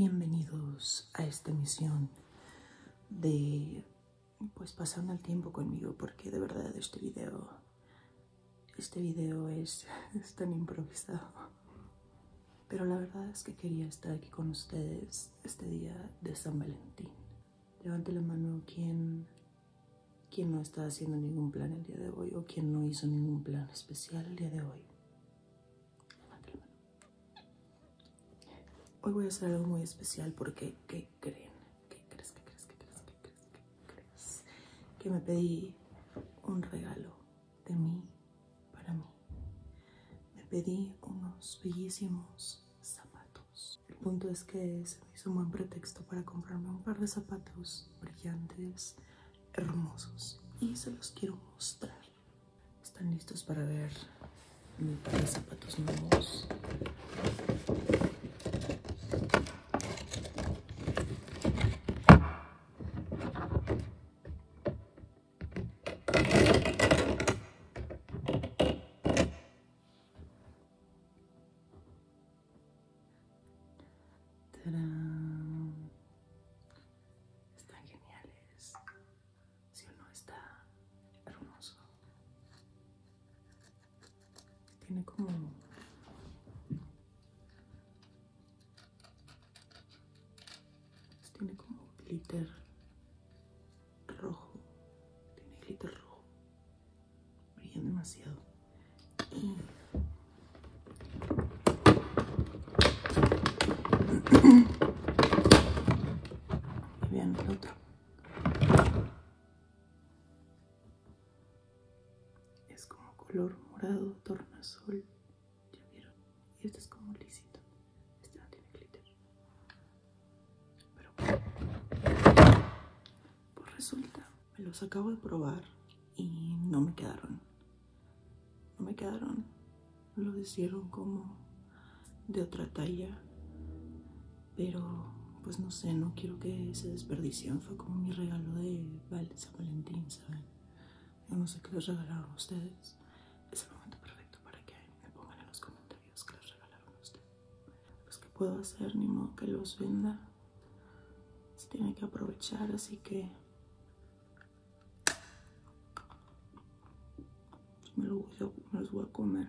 Bienvenidos a esta misión de pues pasando el tiempo conmigo porque de verdad este video este video es, tan improvisado pero la verdad es que quería estar aquí con ustedes este día de San Valentín levante la mano quien quien no está haciendo ningún plan el día de hoy quien no hizo ningún plan especial el día de hoy. Hoy voy a hacer algo muy especial porque, ¿qué creen? ¿Qué crees? ¿Qué crees? ¿Qué crees? ¿Qué crees? Que me pedí un regalo de mí para mí. Me pedí unos bellísimos zapatos. El punto es que se me hizo un buen pretexto para comprarme un par de zapatos brillantes, hermosos y se los quiero mostrar. ¿Están listos para ver mis zapatos nuevos? Están geniales. Si uno está hermoso. Tiene como tiene como glitter rojo tiene glitter rojo brillan demasiado y vean el otro es como color morado azul ya vieron y este es como lisito este no tiene glitter pero pues resulta, me los acabo de probar y no me quedaron. No me quedaron. lo hicieron como de otra talla. Pero, pues no sé, no quiero que se desperdicien. Fue como mi regalo de San Valentín, ¿saben? Yo no sé qué les regalaron a ustedes. Es el momento perfecto para que me pongan en los comentarios qué les regalaron a ustedes. Los pues, que puedo hacer, ni modo que los venda. Se tiene que aprovechar, así que me los voy a comer.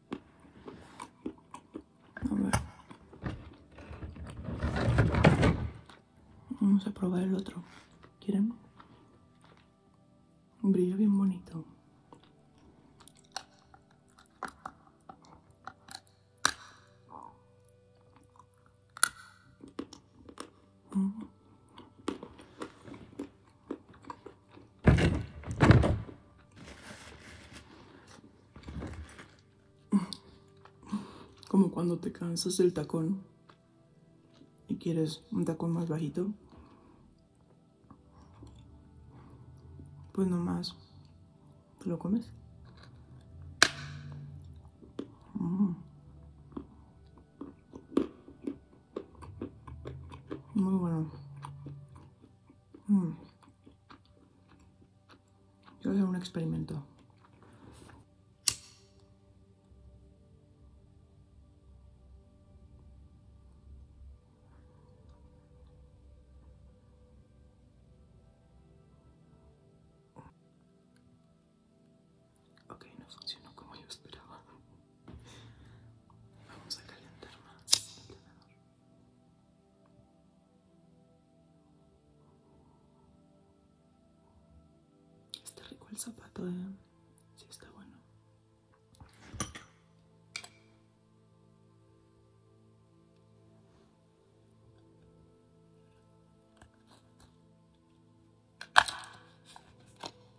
A Vamos a probar el otro. ¿Quieren? Brilla bien bonito. Como cuando te cansas del tacón y quieres un tacón más bajito. Pues nomás te lo comes. Mm. Muy bueno voy a hacer un experimento. Ok, no funcionó como yo esperaba. Vamos a calentar más el tenedor. Está rico el zapato, eh. Sí, está bueno.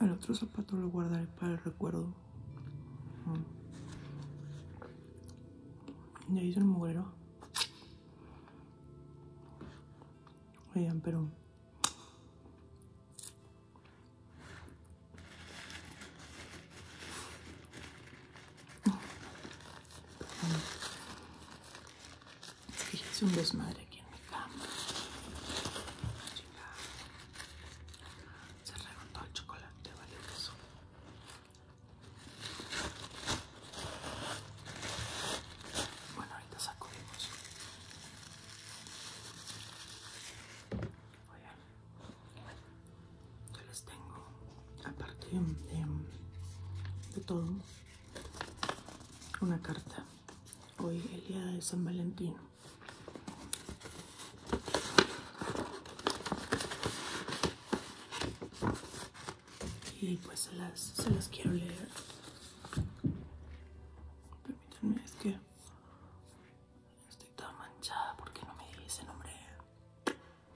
El otro zapato lo guardaré para el recuerdo. Mm. Ya hizo el mugrero. Oigan, pero hice un desmadre aquí en mi cama. chingada, Se todo el chocolate, vale eso. Bueno, ahorita sacudimos. Oigan, yo les tengo, aparte de todo una carta. Hoy el día de San Valentín. Y pues se las, se las quiero leer. Permítanme, es que estoy toda manchada porque no me di ese nombre la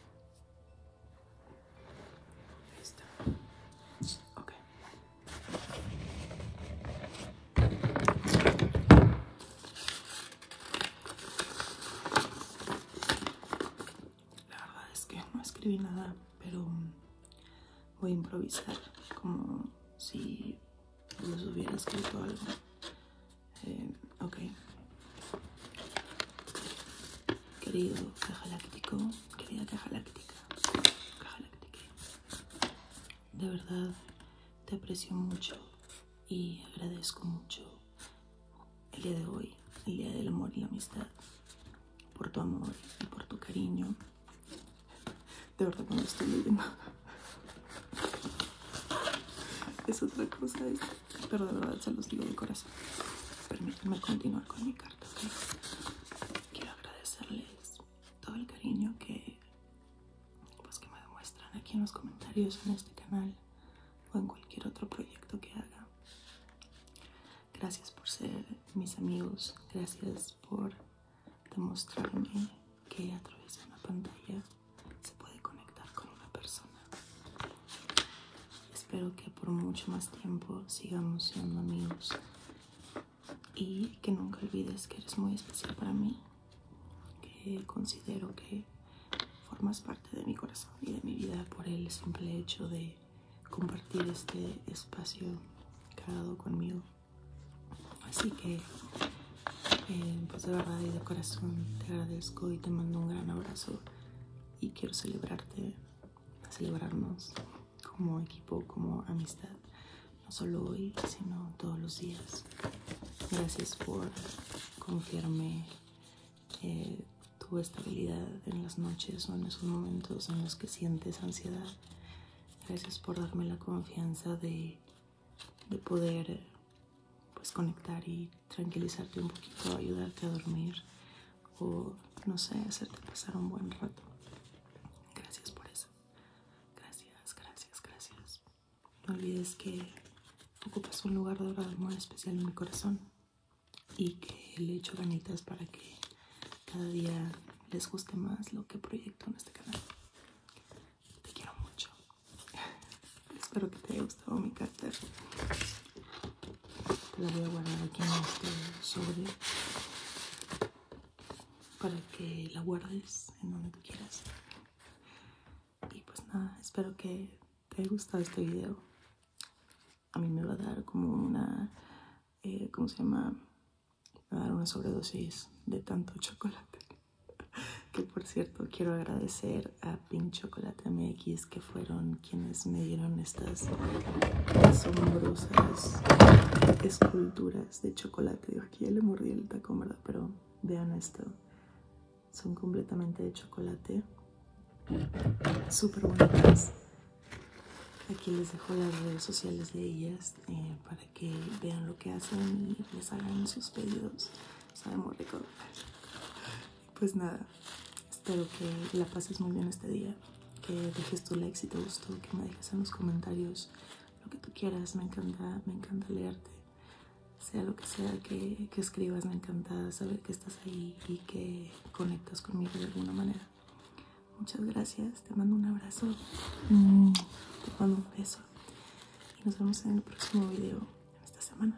verdad es que no escribí nada, pero voy a improvisar como si les hubiera escrito algo. Eh, Querido caja querida caja láctica, De verdad te aprecio mucho y agradezco mucho el día de hoy, el día del amor y la amistad, por tu amor y por tu cariño. De verdad cuando estoy leyendo. Es otra cosa pero de verdad se los digo de corazón. Permítanme continuar con mi carta. Quiero agradecerles todo el cariño que, pues, que me demuestran aquí en los comentarios, en este canal o en cualquier otro proyecto que haga. Gracias por ser mis amigos, gracias por demostrarme que a través de una pantalla se puede conectar con una persona. Espero que por mucho más tiempo sigamos siendo amigos y que nunca olvides que eres muy especial para mí, que considero que formas parte de mi corazón y de mi vida por el simple hecho de compartir este espacio creado conmigo. Así que, eh, pues de verdad y de corazón te agradezco y te mando un gran abrazo y quiero celebrarte, celebrarnos como equipo, como amistad, no solo hoy, sino todos los días. Gracias por confiarme eh, tu estabilidad en las noches o en esos momentos en los que sientes ansiedad. Gracias por darme la confianza de, de poder pues, conectar y tranquilizarte un poquito, ayudarte a dormir o no sé, hacerte pasar un buen rato. Gracias por eso. Gracias, gracias, gracias. No olvides que ocupas un lugar de amor especial en mi corazón y que le echo ganitas para que cada día les guste más lo que proyecto en este canal. Te quiero mucho. Espero que te haya gustado mi cáter. Te la voy a guardar aquí en este sobre para que la guardes en donde tú quieras. Y pues nada, espero que te haya gustado este video. A mí me va a dar como una, eh, ¿cómo se llama? Me va a dar una sobredosis de tanto chocolate. que por cierto quiero agradecer a Pink Chocolate MX que fueron quienes me dieron estas asombrosas esculturas de chocolate. Aquí ya le mordí el tacón, ¿verdad? Pero vean esto. Son completamente de chocolate. Súper bonitas. Aquí les dejo las redes sociales de ellas eh, para que vean lo que hacen y les hagan sus pedidos sabemos Pues nada, espero que la pases muy bien este día, que dejes tu like si te gustó, que me dejes en los comentarios lo que tú quieras, me encanta, me encanta leerte. Sea lo que sea que, que escribas, me encanta saber que estás ahí y que conectas conmigo de alguna manera. Muchas gracias, te mando un abrazo, mm, te mando un beso y nos vemos en el próximo video esta semana.